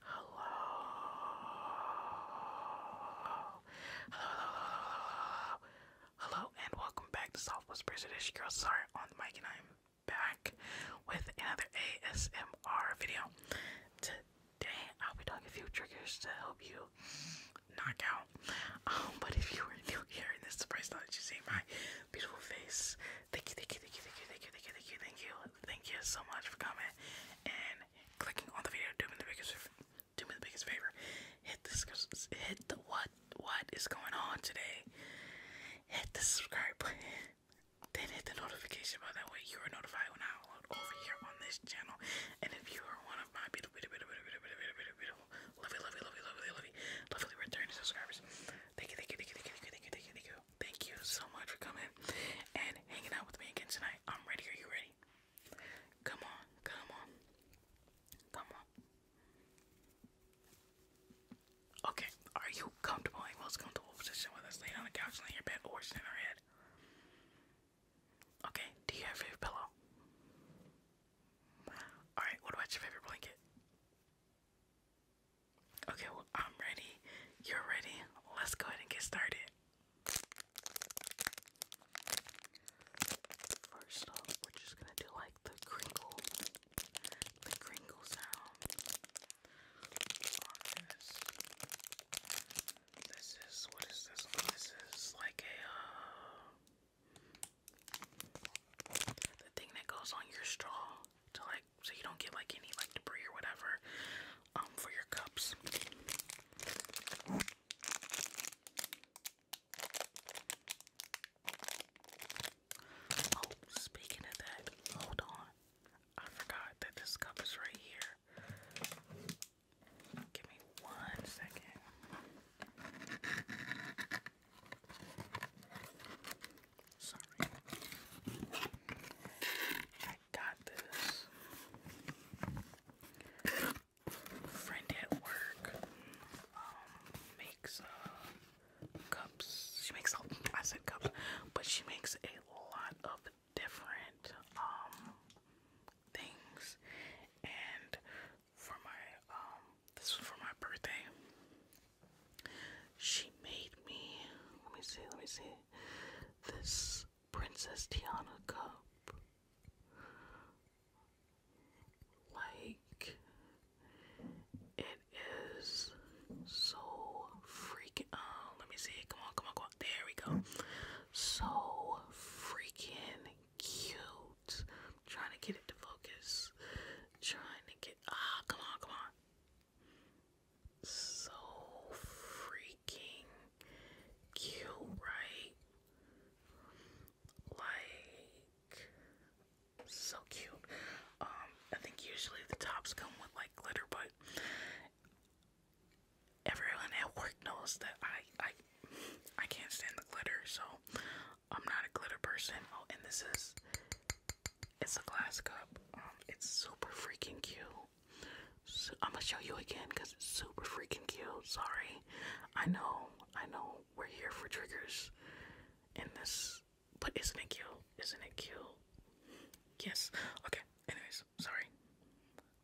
Hello. Hello, hello, hello, hello, and welcome back to Soft Whispers. It is your girl Sorry on the mic, and I'm back with another ASMR video. Today, I'll be doing a few triggers to help you knock out. Um, but if you were new here and this is the first that you see my beautiful face, thank you, thank you, thank you, thank you, thank you, thank you, thank you, thank you, thank you so much for coming and clicking on the video. Do me the biggest, do me the biggest favor. Hit this, hit the what? What is going on today? Hit the subscribe button. Then hit the notification bell. That way you are notified when I upload over here on this channel. And if you are one of my beautiful, beautiful, beautiful, beautiful, beautiful, beautiful, beautiful, lovely, lovely, lovely, lovely, lovely, lovely returning subscribers, thank you, thank you, thank you, thank you, thank you, thank you, thank you, Thank you so much for coming and hanging out with me again tonight. I'm ready. Are you ready? Come on, come on, come on. Okay, are you comfortable in most comfortable position, whether it's laying on the couch, laying your bed, or sitting on your head? Okay, do you have a pillow? Alright, what about your favorite blanket? Okay, well, I'm ready. You're ready. Let's go ahead and get started. First off, we're just gonna do like the crinkle, the crinkle sound this. is what is this? Oh, this is like a uh, the thing that goes on your straw to like so you don't get like any like debris or whatever um for your cups. Oh, speaking of that, hold on. I forgot that this cup is right here. Give me one second. Sorry. I got this. Friend at work um, makes uh, cups. She makes, I said cups, but she makes a lot of different um, things. And for my, um, this was for my birthday. She made me, let me see, let me see, this Princess Tiana cup. Like, it is so freaking, uh, let me see, come on, come on, come on, there we go. So freaking cute. I'm trying to get it to focus. trying to get, ah, come on, come on. So freaking cute, right? Like so cute. Um, I think usually the tops come with like glitter, but everyone at work knows that I I I can't stand the glitter, so I'm not a glitter person. Oh, and this is it's a glass cup. Um, it's super freaking cute. I'm gonna show you again because it's super freaking cute. Sorry, I know, I know, we're here for triggers in this, but isn't it cute? Isn't it cute? Yes. Okay. Anyways, sorry.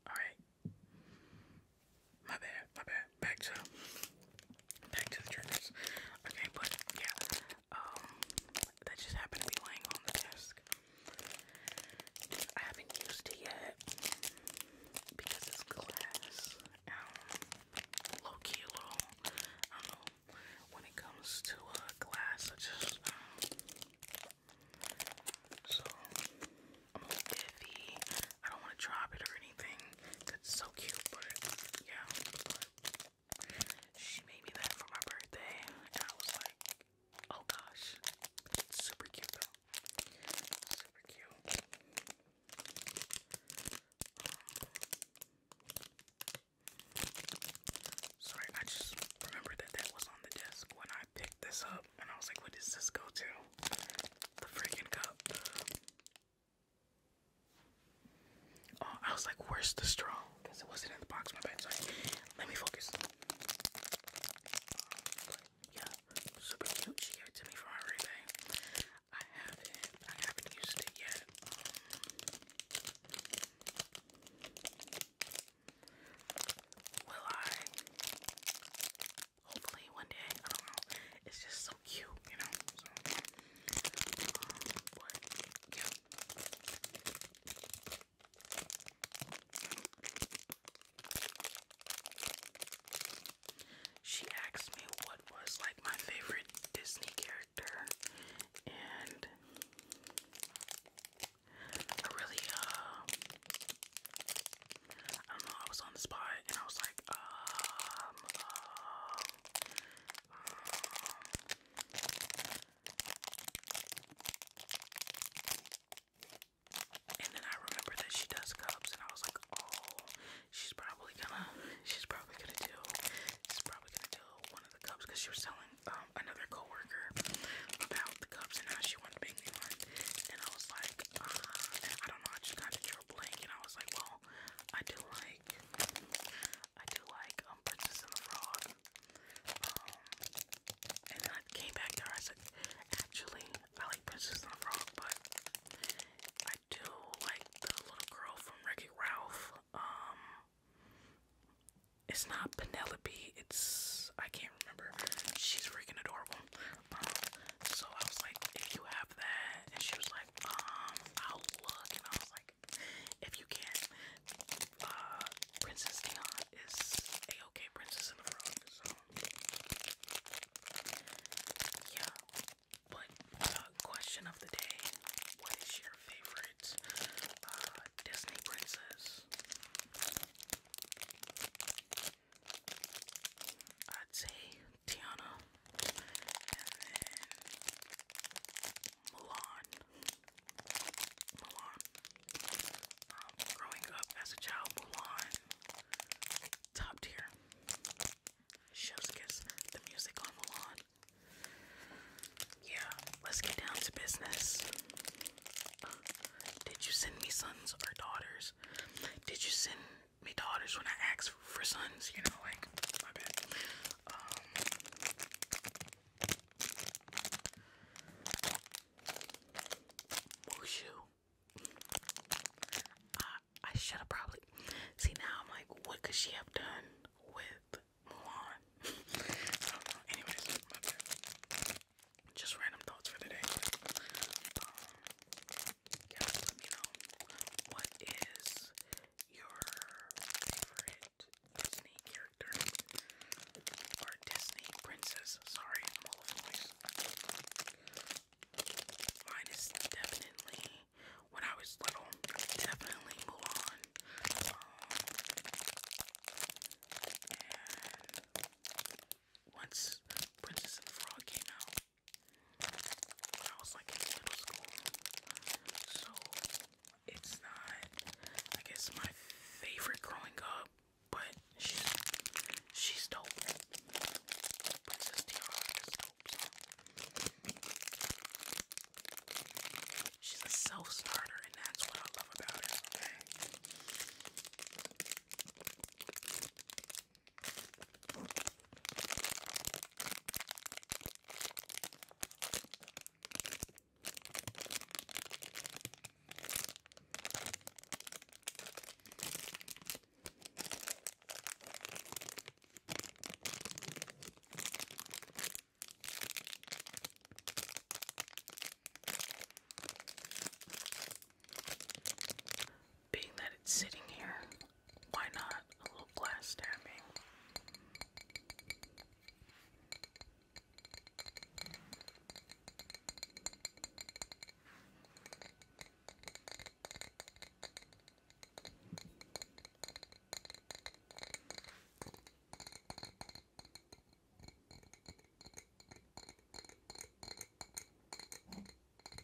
All right. My bad. My bad. Back to back to the triggers. Okay, but yeah, um, that just happened to be laying on the desk. I haven't used it yet because it's glass. Um, low key, little. I don't know. When it comes to uh, glass, I just. Um, so, I'm a little iffy. I don't want to drop it or anything. It's so cute, but yeah. She made me that for my birthday, and I was like, oh gosh. super cute Super cute. sorry, I just remembered that that was on the desk when I picked this up, and I was like, what does this go to? The freaking cup. Oh, I was like, where's the straw? Because it wasn't in the box, my bad. Sorry. Let me focus. yeah, super cute. She gave it to me for my birthday. I haven't I haven't used it yet. will I? Hopefully one day. I don't know. It's just um, she asked me what was like my favorite Disney character, and I really, uh, I was on the spot and I was like, um, um, and then I remember that she does cups, and I was like, oh, she's probably gonna, she's probably gonna do, she's probably gonna do one of the cups because she was telling um, another coworker about the cups and now she wanted to make me one. And I was like, uh, and I don't know, I just got into a blank, and I was like, well, I do like I do like um Princess and the Frog. Um, and I came back there. I said, actually, I like Princess and the Frog, but I do like the little girl from wreck Ralph. Um, it's not Penelope. It's I can't remember. She's freaking adorable. Um, so I was like, if you have that, and she was like, um, I'll look, and I was like, if you can, uh, Princess Dion is a okay princess in the frog, so yeah. But uh, question of the day: What is your favorite uh, Disney princess? I'd say Tiana, and then Milan. Milan. Um, growing up as a child, Milan, top tier. Chef's The music on Milan. Yeah, let's get down to business. did you send me sons or daughters? Did you send me daughters when I ask for sons, you know, like my bad. Um, Wushu. I, I should have probably see now. I'm like, what could she have done with Mulan? I don't know. Anyways, Just random thoughts for the day. Um, guys, let me what is your favorite Disney character or Disney princess. Sorry, I'm all over the Mine is definitely when I was little, definitely Mulan. Um, and once Princess and Frog came out, I was like in middle school. So it's not, I guess, my favorite growing up, but she's she's dope. Princess Tiara is So. She's a self-starter, and that's what I love about her. Okay. Being that it's sitting here, why not? A little glass stabbing.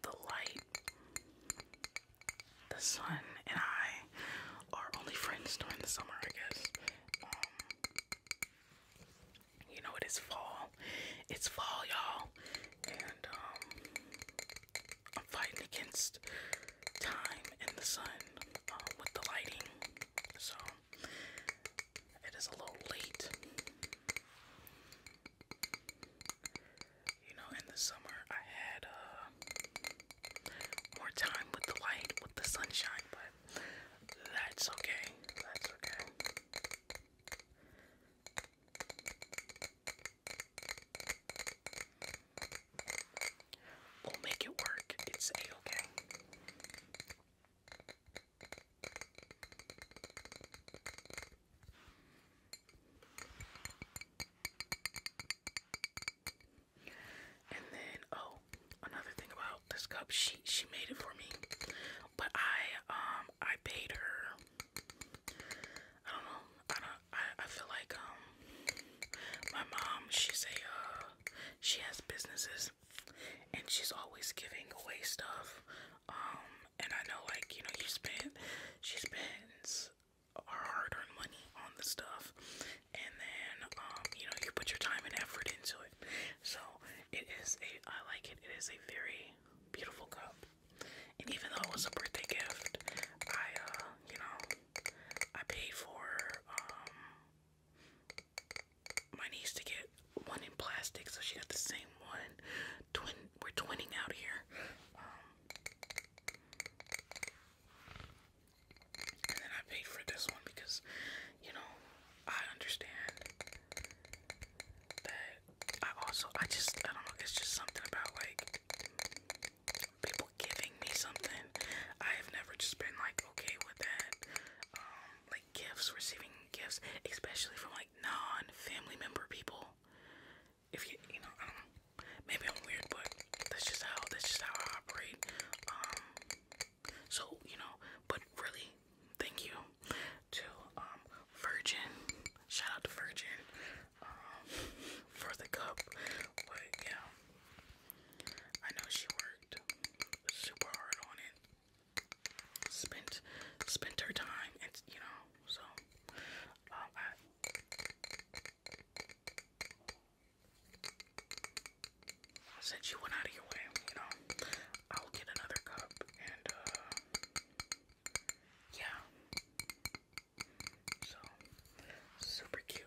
the light, the sun, and I are only friends during the summer, I guess. Um, you know, it is fall. It's fall, y'all. And um, I'm fighting against time and the sun um, with the lighting. So it is a little late you know, in the summer I had uh, more time with the light, with the sunshine, but that's okay. That's okay. We'll make it work. It's okay. And then oh, another thing about this cup, she she made it for me. But I um I paid her I don't know. I don't I, I feel like um my mom, she's a uh she has businesses and she's always giving away stuff. Um and I know like, you know, you spend she spends our hard-earned money on the stuff, and then um, you know you put your time and effort into it. So it is a I like it. It is a very beautiful cup, and even though it was a birthday gift, I uh, you know I paid for um, my niece to get one in plastic, so she got the same one. Twin, we're twinning out here. Um, and then I paid for this one because, you know, I understand that I also, I just, I don't know, it's just something about like people giving me something. I have never just been like okay with that. Um, like gifts, receiving gifts, especially from like non family member people if you you know um, maybe I'm weird but that's just how that's just how I operate um so you know but really thank you to um Virgin shout out to Virgin um for the cup but yeah I know she worked super hard on it spent spent her time and you know so, um, I. Since you went out of your way, you know, I'll get another cup and, uh, yeah. So, super cute.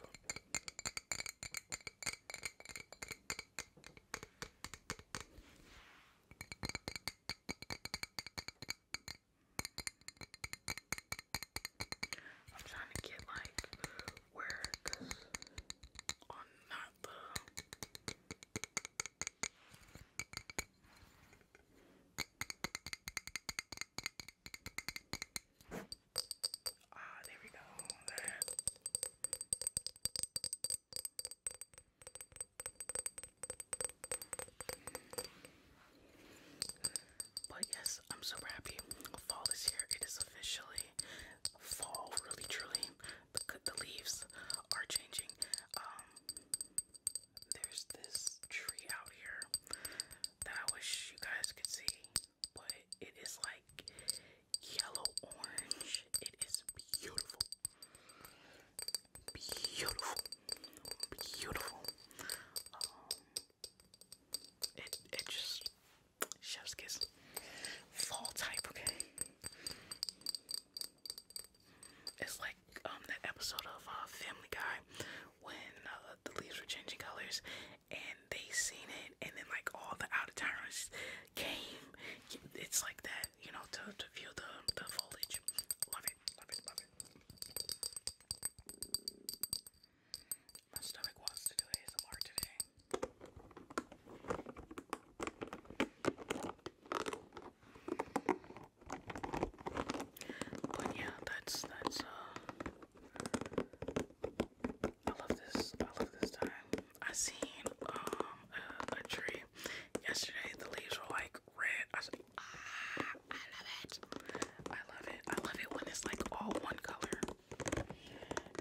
I'm trying to get like where, cause on not the ah, there we go. That. But yes, I'm super happy. Fall is here. It is officially fall, really truly. The, the leaves are changing. Um, there's this tree out here that I wish you guys could see, but it is like yellow orange. It is beautiful beautiful, beautiful. Um, it it just chef's kiss. Fall type, okay. It's like um that episode of uh, Family Guy when uh, the leaves were changing colors, and they seen it, and then like all the out of came. It's like that, you know, to to view the the foliage. Love it love it, love it. My stomach wants to do ASMR today. But yeah, that's that's uh, I love this. I love this time. I seen um a tree yesterday. The leaves were like red. I said, ah, I love it. I love it. I love it when it's like all one color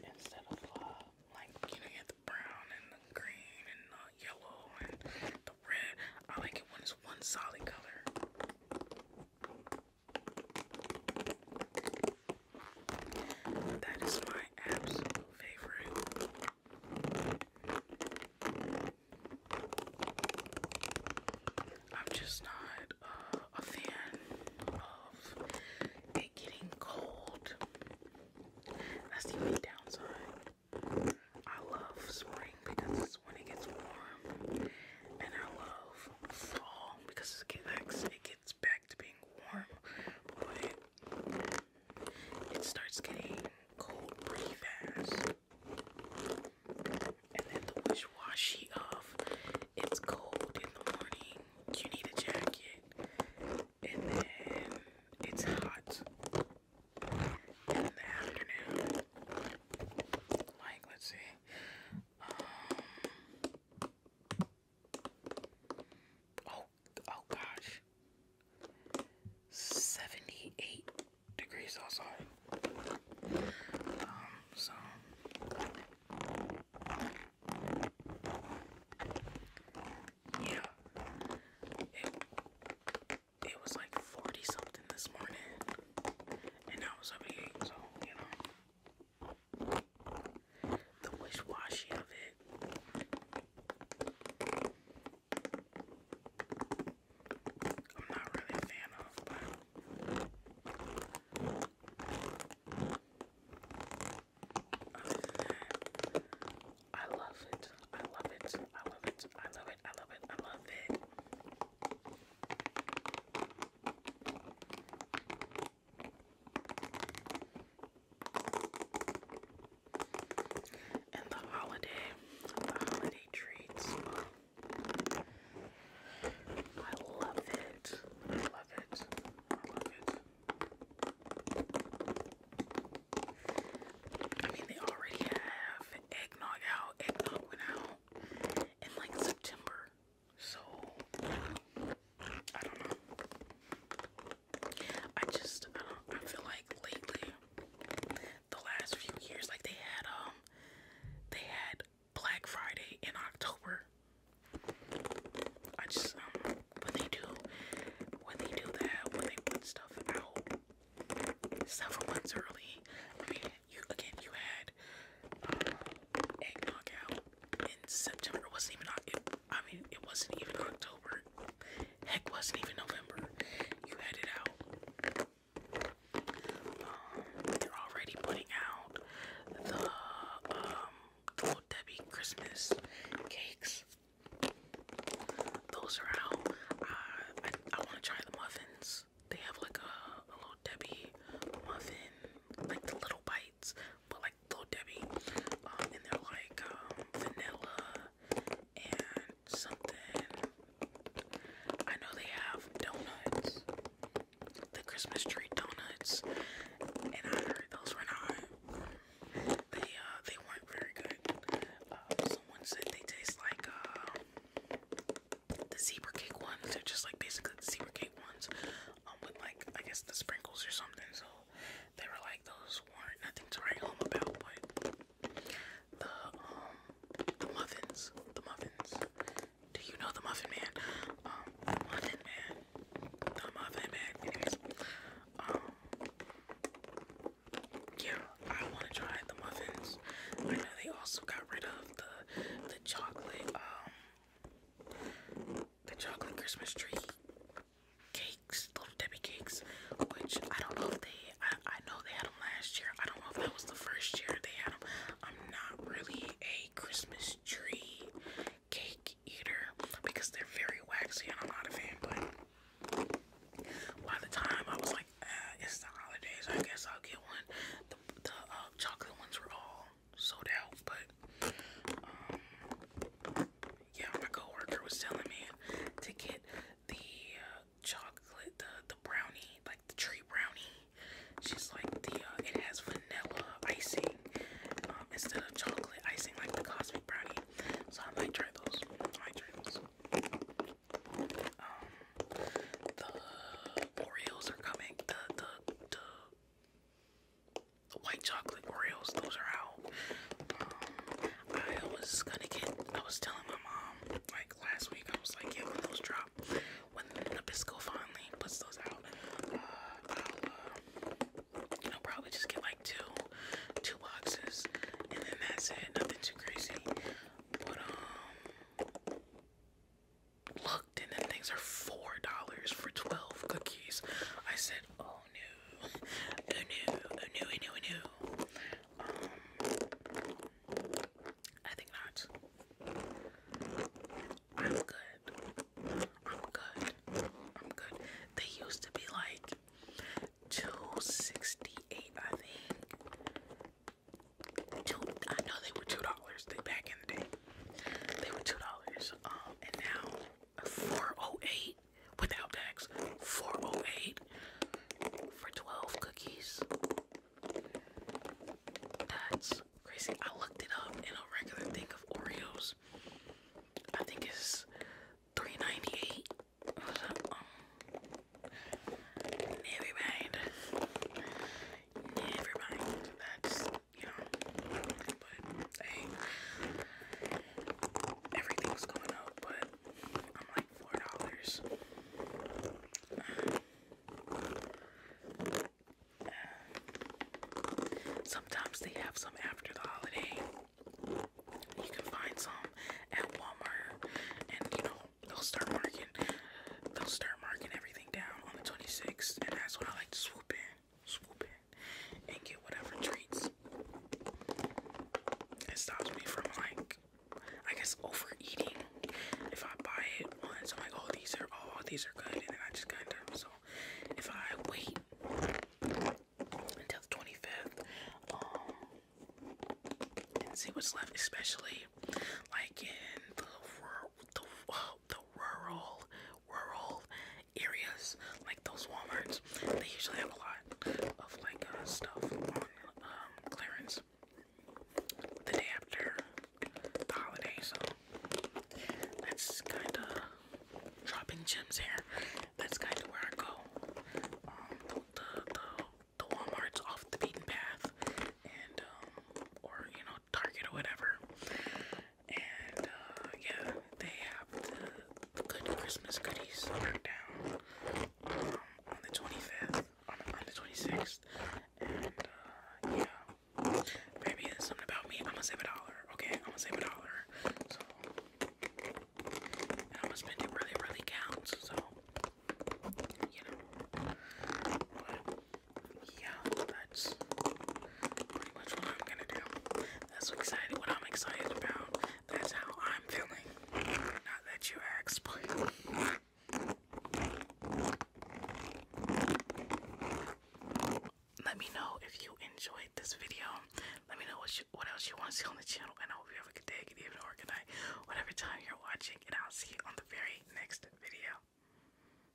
instead of uh, like you know you have the brown and the green and the yellow and the red. I like it when it's one solid color. That is my absolute favorite. I'm just not uh, a fan of it getting cold. That's the only downside. I love spring because it's when it gets warm, and I love fall because it gets it gets back to being warm. But it starts getting cold pretty fast. And then the wish washy of it's cold in the morning, you need a jacket. And then it's hot in the afternoon. Like, let's see. Um, oh, oh gosh, 78 degrees outside. Um, so yeah, it, it was like 40 something this morning, and now it's 78, so you know. The wish washy of it i love it. I love it. I love it. I love it. I love it. I love it. And the holiday, the holiday treats. I love it. I love it. I love it. I mean, they already have eggnog out. Eggnog went out in like September. So, I don't know. I just I don't I feel like lately the last few years like they had um they had Black Friday in October. I just um when they do when they do that when they put stuff out several months early. I mean you again you had egg uh, eggnog out in September. wasn't even it, I mean it wasn't even October. Heck, wasn't even November. You had it out. they're um, already putting out the um Debbie Christmas cakes. Those are out. I want to try the muffins. They have like a little Debbie muffin, like the little bites but like Little Debbie, um, and they're like um, vanilla and something. I know they have donuts, the Christmas tree donuts, and I heard those were not. They uh, they weren't very good. Uh, someone said they taste like um, the zebra cake ones. They're just like basically the zebra cake ones, um, with like I guess the sprinkles or something. So they were like those weren't nothing to write home about, but the um the muffins, the muffins. Do you know the muffin man? Um, muffin man, the muffin man. Anyways, um, yeah, I want to try the muffins. I know they also got rid of the the chocolate um the chocolate Christmas tree cakes, little Debbie cakes, which I don't know if they, I, I know they had them last year. I don't know if that was the first year they had them. I'm not really a Christmas tree cake eater because they're very waxy and I'm not a fan, but by the time I was like, uh, it's the holidays, I guess I'll get one. The, the uh, chocolate ones were all sold out, but um, yeah, my coworker was telling me to get the uh, chocolate, the the brownie, like the tree brownie. She's like the uh, it has vanilla icing um, instead of chocolate icing, like the cosmic brownie. So I might try those. I try those. Um, the Oreos are coming. The the the white chocolate Oreos. Those are out. Um, I was gonna get. I was telling my mom like last week. I was like, yeah, when those drop, when Nabisco finally puts those out, uh, I'll, you uh, know, probably just get like two, two boxes, and then that's it. Nothing too crazy. But um, looked, and then things are four dollars for twelve cookies. I said, oh. Oh no. Oh no. Oh no. Oh no. Oh no. Um, I think not. I'm good. I'm good. I'm good. They used to be like 268 I think. Two, I know they were $2. They back in the day. They were $2. Um, and now 408 without tax 408 for 12 cookies that's crazy i looked it up in a regular thing of oreos i think it's 398 never mind never mind that's you know, but hey, everything's going up, but I'm like four dollars. sometimes they have some after the holiday. You can find some at Walmart, and you know they'll start marking, they'll start marking everything down on the 26th, and that's when I like to swoop in swoop in, and get whatever treats. It stops me from like, I guess overeating. If I buy it once, I'm like, oh these are oh these are good, and then I just kind of so. If I wait until the 25th, um, and see what's left, especially like in the rural, the, the rural, rural areas, like those Walmarts, they usually have a lot of like uh, stuff on um, clearance the day after the holiday. So that's kind of dropping gems here. That's kind of where I go. Um, the, the, the Walmart's off the beaten path, and um, or you know Target or whatever, and uh, yeah, they have the good Christmas goodies marked down um, on the 25th, on, the 26th. And uh, yeah, maybe it's something about me. I'm gonna save a dollar, okay? I'm gonna save a dollar. So, I'm gonna spend it really, really counts. So, you know, yeah, that's pretty much what I'm gonna do. That's excited what I'm excited about. That's how I'm feeling. Not that you asked, but let me know if you enjoyed this video. Let me know what what else you want to see on the channel, and I hope you have a good day, good evening, or good night, whatever time you're watching. And I'll see you on the very next video.